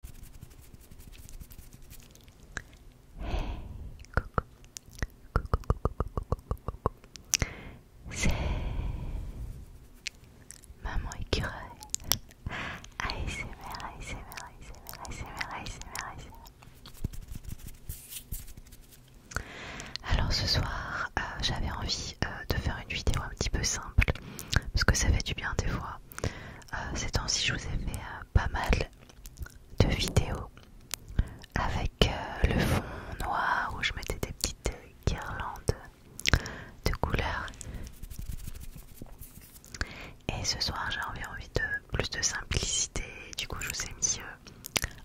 coucou, C'est Maman Écureuil Alors ce soir, euh, j'avais envie euh, de faire une vidéo un petit peu simple parce que ça fait du bien des fois euh, ces temps-ci, je vous ai fait euh, pas mal de vidéos avec euh, le fond noir où je mettais des petites guirlandes de couleurs. Et ce soir, j'ai envie de plus de simplicité. Du coup, je vous ai mis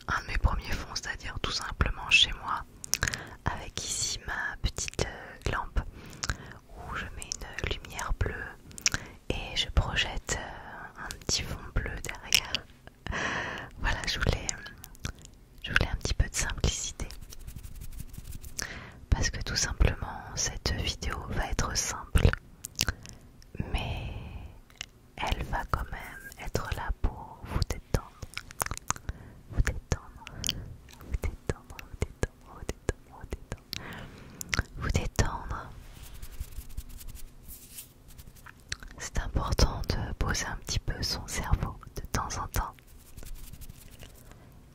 un de mes premiers fonds, c'est-à-dire tout simplement chez moi, avec ici ma petite lampe où je mets une lumière bleue et je projette euh, un petit fond bleu derrière. Voilà, je voulais, je voulais un petit peu de simplicité. Parce que tout simplement, cette vidéo va être simple, mais elle va quand même être là pour Vous détendre, vous détendre, vous détendre, vous détendre, vous détendre, vous détendre, vous détendre. C'est important de poser un petit peu son cerveau de temps en temps.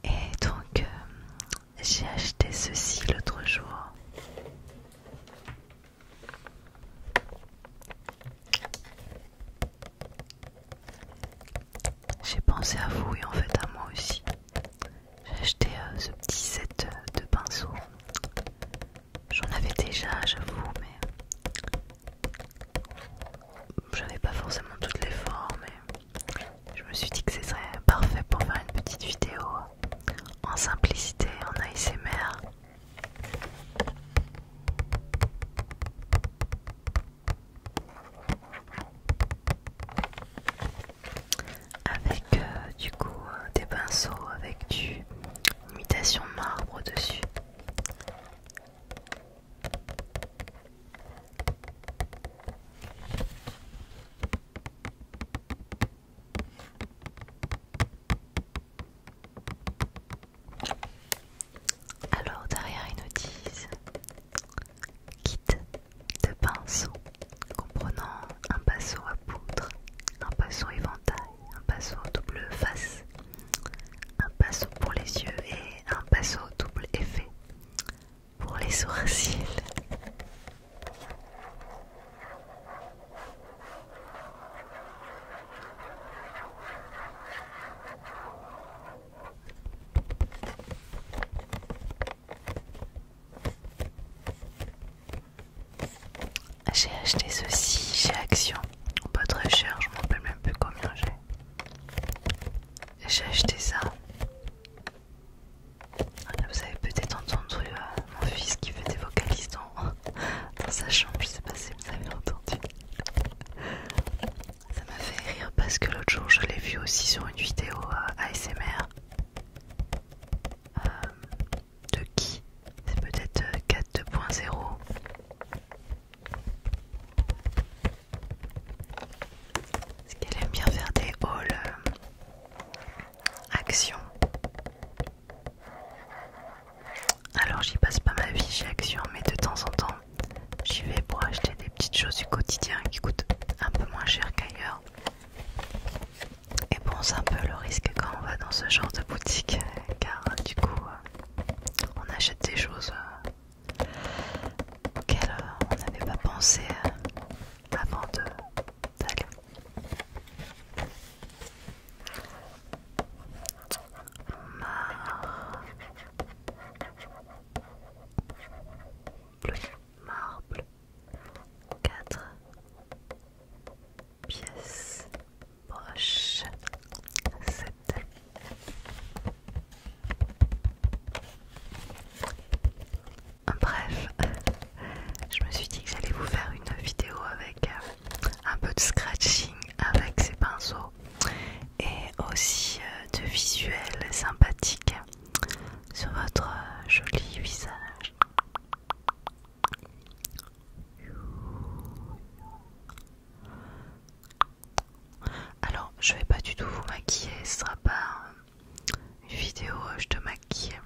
Et donc, euh, j'ai acheté ceci l'autre jour. J'ai pensé à vous et en fait à moi aussi. J'ai acheté euh, ce petit set euh, de pinceaux. J'en avais déjà, j'avoue, mais j'avais pas forcément toutes les formes. je me suis dit que ce serait parfait pour faire une petite vidéo en simplicité, en ASMR avec euh, du coup euh, des pinceaux avec du imitation marbre dessus. Alors derrière ils nous disent Kit de pinceaux comprenant un pinceau à poudre, un pinceau éventail, un pinceau double face, un pinceau pour les yeux et un pinceau double effet pour les sourcils. J'ai acheté ceci chez Action. Pas très cher, je m'en rappelle même plus combien j'ai. J'ai acheté ça. Ah, vous avez peut-être entendu euh, mon fils qui fait des vocalistes dans, sa chambre. Je sais pas si vous avez entendu. Ça m'a fait rire parce que l'autre jour je l'ai vu aussi sur une vidéo euh, ASMR euh, de qui c'est peut-être 4.0 euh, ce qu'elle aime bien faire des hauls euh, action alors j'y passe pas ma vie chez Action mais de temps en temps j'y vais pour acheter des petites choses du quotidien qui coûtent un peu moins cher qu'ailleurs et bon, c'est un peu le risque quand on va dans ce genre de boutique, car du coup, euh, on achète des choses euh, auxquelles euh, on n'avait pas pensé avant de Marble. Marble. 4 pièces proches, 7 Bref, je me suis dit que j'allais vous faire une vidéo avec euh, un peu de scratching avec ces pinceaux et aussi euh, de visuels sympathiques sur votre euh, joli visage. Alors, je vais pas du tout vous maquiller, ce sera pas une vidéo euh, je te maquille.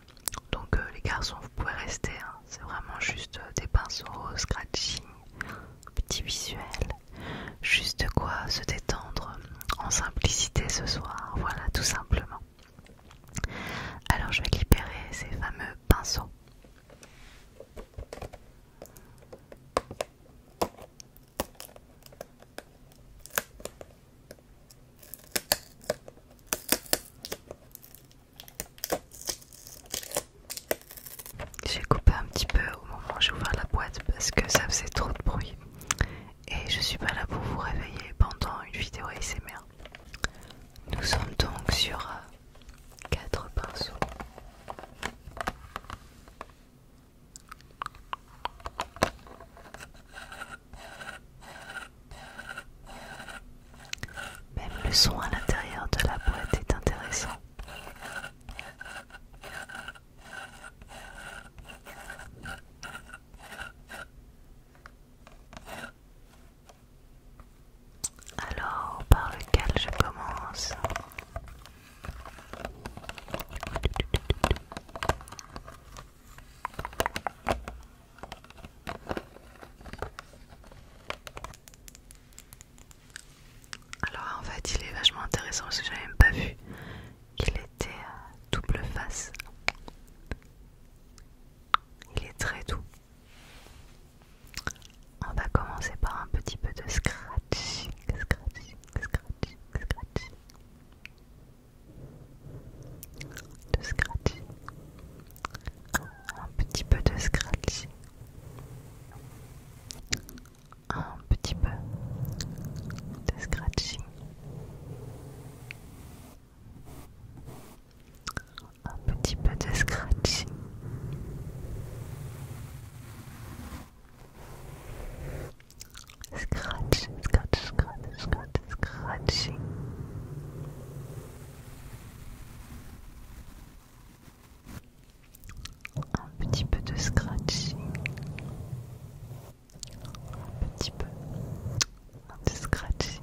Donc euh, les garçons, vous pouvez rester, hein. c'est vraiment juste des pinceaux, scratching, petit visuel, juste quoi se détendre en simplicité ce soir, voilà tout simplement. Alors je vais libérer ces fameux pinceaux. J'ai coupé un petit peu au moment où j'ai ouvert la boîte parce que ça faisait trop de bruit et je suis pas là pour vous réveiller pendant une vidéo ASMR. Nous sommes donc sur 4 euh, pinceaux. Même le son à l'intérieur de la boîte est intéressant. Alors, par lequel je commence alors en fait il est vachement intéressant parce que j'avais même pas vu il était à double face. Il est très doux. On va commencer par un petit peu de scratching, scratching, scratching, scratching. De scratching. Un petit peu de scratching. Un petit peu de scratching un petit peu de scratching. Scratch, scratch, scratch, scratch, scratching. Un petit peu de scratching un petit peu de scratching.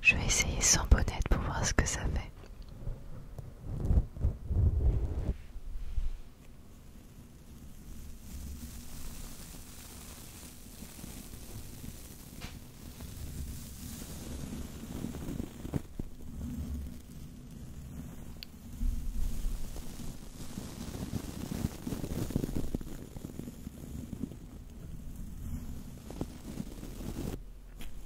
Je vais essayer sans bonnet pour voir ce que ça fait.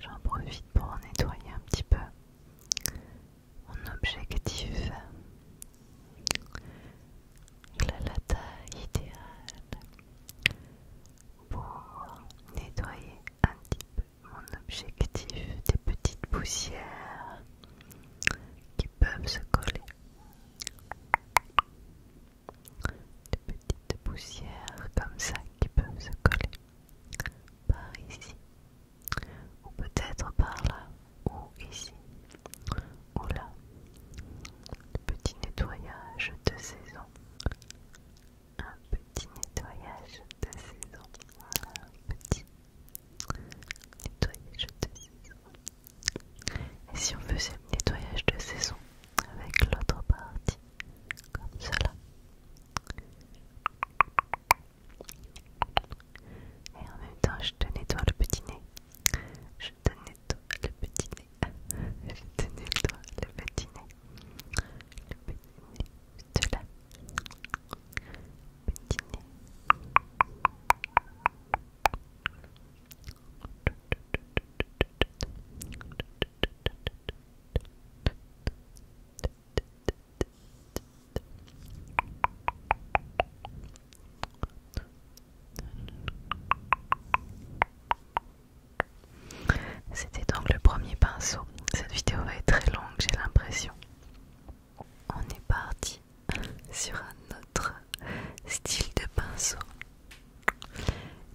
J'en profite pour nettoyer un petit peu mon objectif. La, la taille idéale pour nettoyer un petit peu mon objectif des petites poussières qui peuvent se coller. De petites poussières comme ça qui peuvent se coller. Par ici, ou peut-être par là, ou ici, ou là. Petit nettoyage de saison. Un petit nettoyage de saison. petit Nettoyage de saison. Et si on faisait le nettoyage de saison avec l'autre partie, comme cela. Et en même temps, je te nettoie le petit nez. Je te nettoie le petit nez. je te nettoie le petit nez. Le petit nez. là. C'était donc le premier pinceau. Cette vidéo va être très longue, j'ai l'impression. On est parti sur un autre style de pinceau.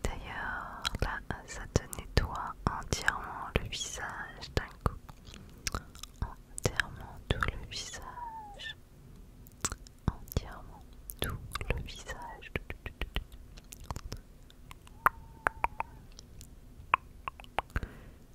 D'ailleurs, là, ça te nettoie entièrement le visage d'un coup. Entièrement tout le visage. Entièrement tout le visage.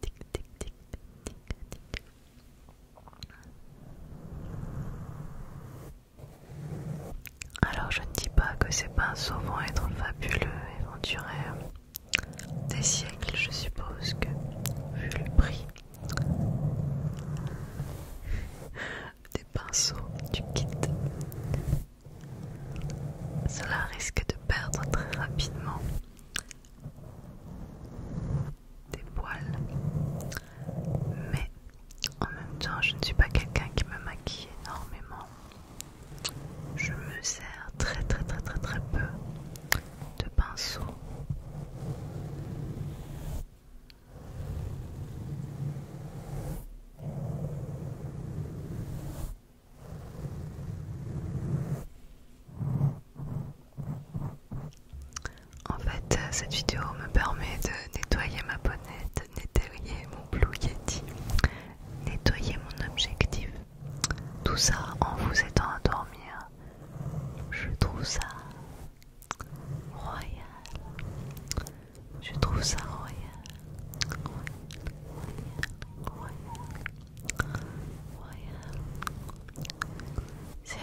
tic tic tic tic alors je ne dis pas que ces pinceaux vont être fabuleux et vont des siècles je suppose que vu le prix des pinceaux du kit cela risque de perdre très rapidement des poils, mais en même temps, je ne suis pas quelqu'un qui me maquille énormément. Je me sers très très très très très peu de pinceaux en fait, euh, cette vidéo me permet de nettoyer ma bonnette, nettoyer mon Blue Yeti, nettoyer mon objectif. Tout ça en vous aidant à dormir. Je trouve ça royal. Je trouve ça royal. royal. C'est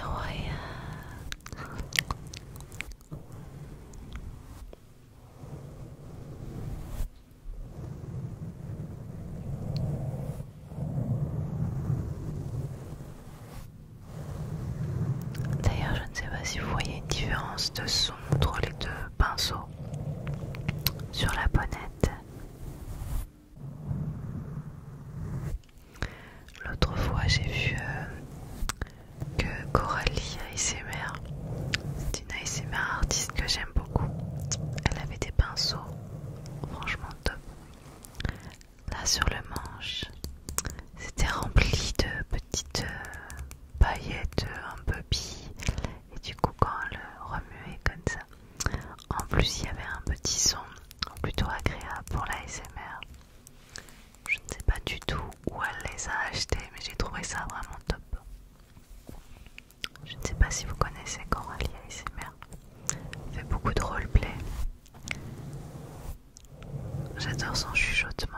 D'ailleurs, je ne sais pas si vous voyez une différence de son entre les deux pinceaux sur la bonnette. L'autre fois, j'ai vu euh, que Coralie ASMR, c'est une ASMR artiste que j'aime beaucoup. Elle avait des pinceaux, franchement top. Là sur le manche, c'était rempli de petites euh, paillettes euh, un peu et du coup quand on le remuait comme ça en plus il y avait un petit son plutôt agréable pour la SMR je ne sais pas du tout où elle les a achetés mais j'ai trouvé ça vraiment top je ne sais pas si vous connaissez Coralie ASMR elle fait beaucoup de roleplay j'adore son chuchotement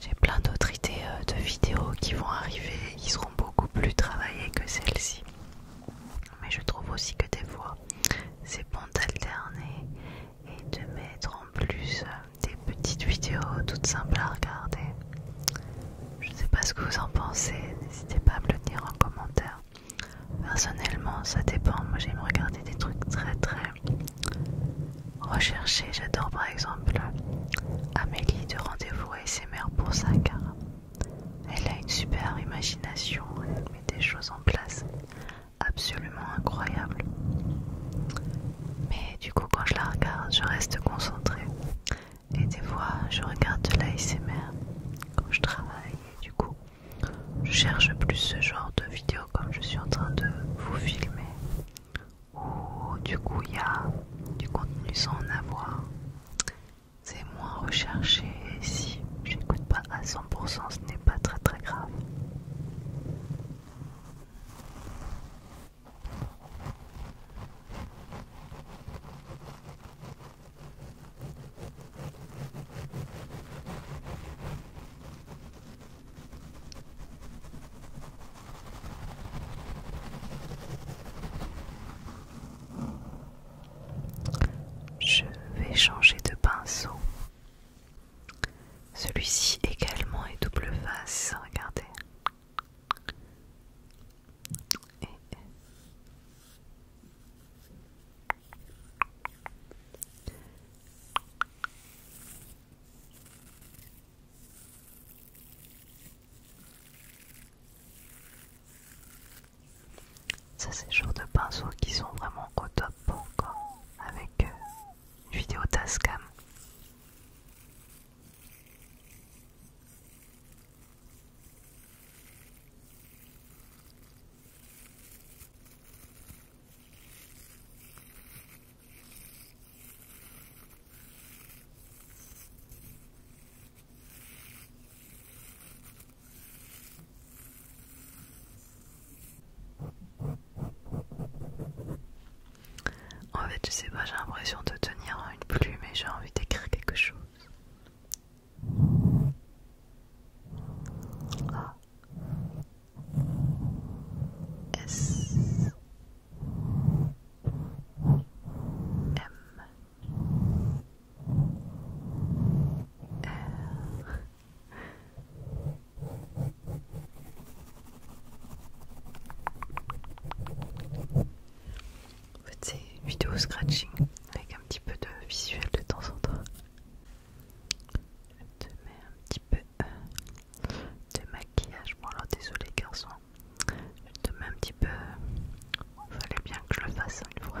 J'ai plein d'autres idées euh, de vidéos qui vont arriver, ils seront beaucoup plus travaillées que celle-ci. Mais je trouve aussi que des fois, c'est bon d'alterner et de mettre en plus euh, des petites vidéos toutes simples à regarder. Je ne sais pas ce que vous en pensez, n'hésitez pas à me le dire en commentaire. Personnellement, ça dépend. Moi, j'aime regarder des trucs très très recherchés. J'adore par exemple Amélie de Rendez-vous ses SMR pour ça car. Elle a une super imagination, elle met des choses en place absolument incroyables. Mais du coup, quand je la regarde, je reste concentrée. Et des fois, je regarde de l'ASMR quand je travaille. du coup, je cherche plus ce genre de vidéos comme je suis en train de vous filmer. Ou du coup, il y a du contenu sans en avoir. C'est moins recherché et si coûte pas à 100%, ce n'est pas très très grave. Je vais changer de pinceau. Celui-ci également est double face, regardez. Ça c'est le genre de pinceaux qui sont vraiment au top encore avec euh, une vidéo Tascam. En fait, je sais pas, j'ai l'impression de tenir une plume et j'ai envie d'écrire quelque chose. Ah. Euh, en fait, c'est une vidéo scratching avec un petit peu de visuel de temps en temps. Je te mets un petit peu euh, de maquillage. Bon, alors désolé, garçon. Je te mets un petit peu. Euh, fallait bien que je le fasse hein, une fois.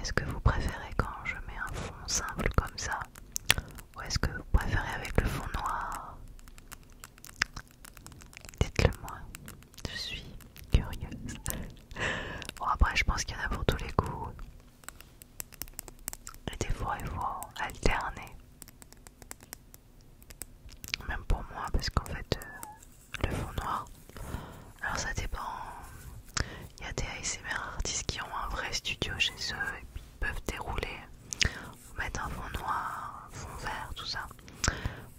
Est-ce que vous préférez quand je mets un fond simple comme ça Ou est-ce que vous préférez avec le fond noir Dites-le moi, je suis curieuse. Bon après je pense qu'il y en a pour tous les goûts. Et des fois, il faut alterner. Même pour moi, parce qu'en fait, euh, le fond noir. Alors, ça dépend. Il y a des ASMR artistes qui ont un vrai studio chez eux et puis peuvent dérouler, mettre un fond noir, fond vert, tout ça.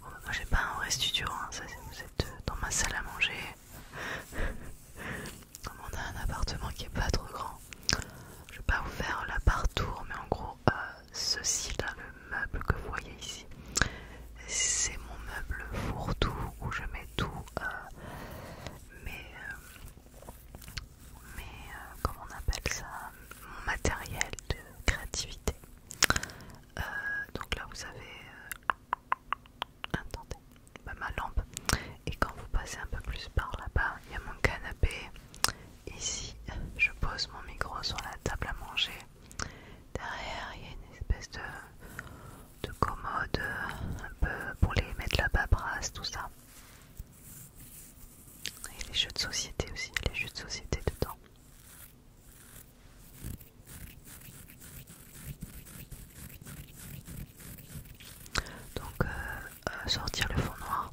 moi, j'ai pas un vrai studio, hein, vous êtes euh, dans ma salle à manger on a un appartement qui est pas trop grand. Je vais pas vous faire la partout, mais en gros, euh, ceci là, le meuble que vous voyez ici, c'est mon meuble fourre-tout où je mets tout. Euh, mais, euh, comment on appelle ça Mon matériel de créativité. donc là, vous avez attendez, bah, ma lampe. Et quand vous passez un peu plus par là-bas, il y a mon canapé. Ici, je pose mon micro sur la table à manger. Derrière, il y a une espèce de, commode euh, un peu pour les mettre là-bas, brasse tout ça. Et les jeux de société aussi, les jeux de société dedans. Donc, euh, sortir le fond noir,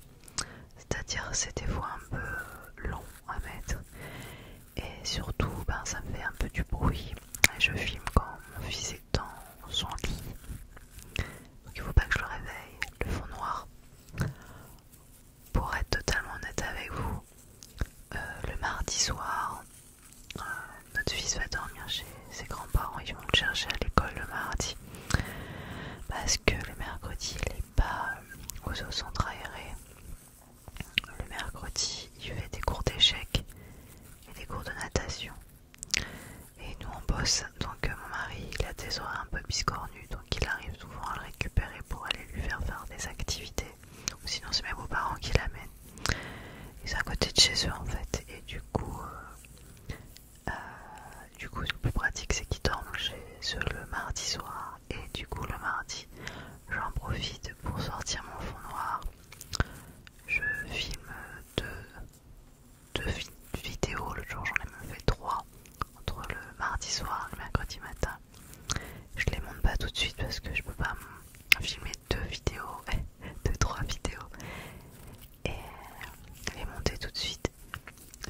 c'est-à-dire c'est des fois un peu long à mettre, et surtout ben, ça me fait un peu du bruit. Et je filme quand mon fils est dans son lit, donc il faut pas que je le réveille. Le fond noir, pour être totalement honnête avec vous, euh, le mardi soir, notre fils va dormir chez ses grands-parents, ils vont le chercher à l'école le mardi parce que le mercredi il n'est pas euh, aux centre aéré. Le mercredi il fait des cours d'échecs et des cours de natation. Et nous on bosse, donc euh, mon mari il a des oreilles un peu biscornues donc il arrive souvent à le récupérer pour aller lui faire faire des activités. Ou sinon c'est mes beaux-parents qui l'amènent. Ils sont à côté de chez eux en fait, et du coup, euh, euh, du coup, le plus pratique c'est qu'ils dorment chez eux le mardi soir, et du coup, le mardi, j'en profite pour sortir mon fond noir. Je filme deux, vidéos, le jour j'en ai même fait trois, entre le mardi soir et le mercredi matin. Je les monte pas tout de suite parce que je peux pas filmer deux vidéos, deux, trois vidéos et les euh, monter tout de suite.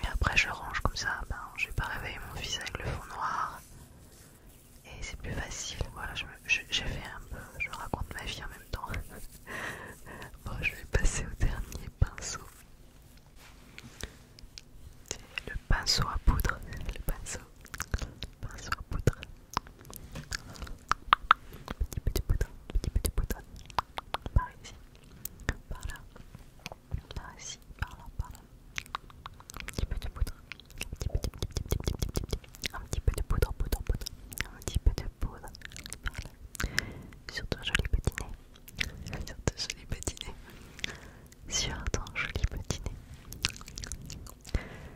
Et après, je range comme ça. Ben, je vais pas réveiller mon fils avec le fond noir et c'est plus facile. Voilà, j'ai je, fait un peu, je raconte ma vie en même temps. bon, je vais passer au dernier pinceau. Le pinceau à poudre, le pinceau, le pinceau à poudre. Petit petit petit petit Par ici, par là, par ici, par Petit peu de poudre, petit un petit peu de poudre, un petit peu de poudre. Sur ton joli petit nez, sur joli petit nez, sur ton joli petit nez.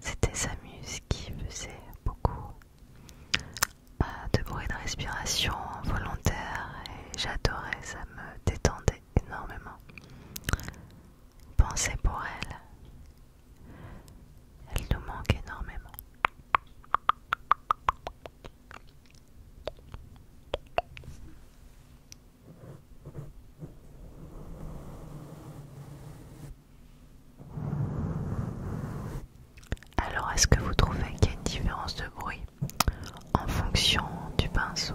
c'était sa muse qui faisait beaucoup de bruit de respiration volontaire et j'adorais, ça me détendait énormément. Pensez pour elle. Elle nous manque énormément. Alors, est-ce que vous trouvez qu'il y a une différence de bruit en fonction du pinceau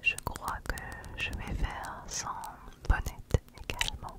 Je crois que je vais faire sans bonnet également.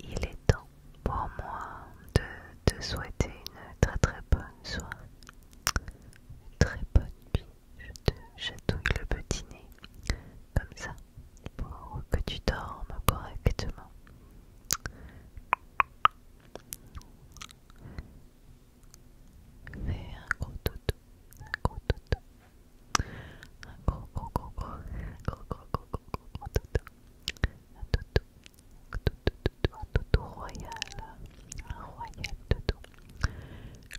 Il est temps pour moi de te souhaiter une très très bonne soirée. Très bonne nuit. Je te chatouille le petit nez comme ça pour que tu dormes correctement. Fais un gros toutou, un gros toutou. Un gros gros gros un gros gros Un toutou, un royal, un royal toutou.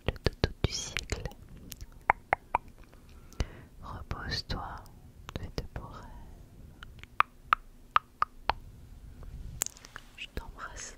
Le toutou du siècle. Repose-toi, fais de beaux rêves. Je t'embrasse.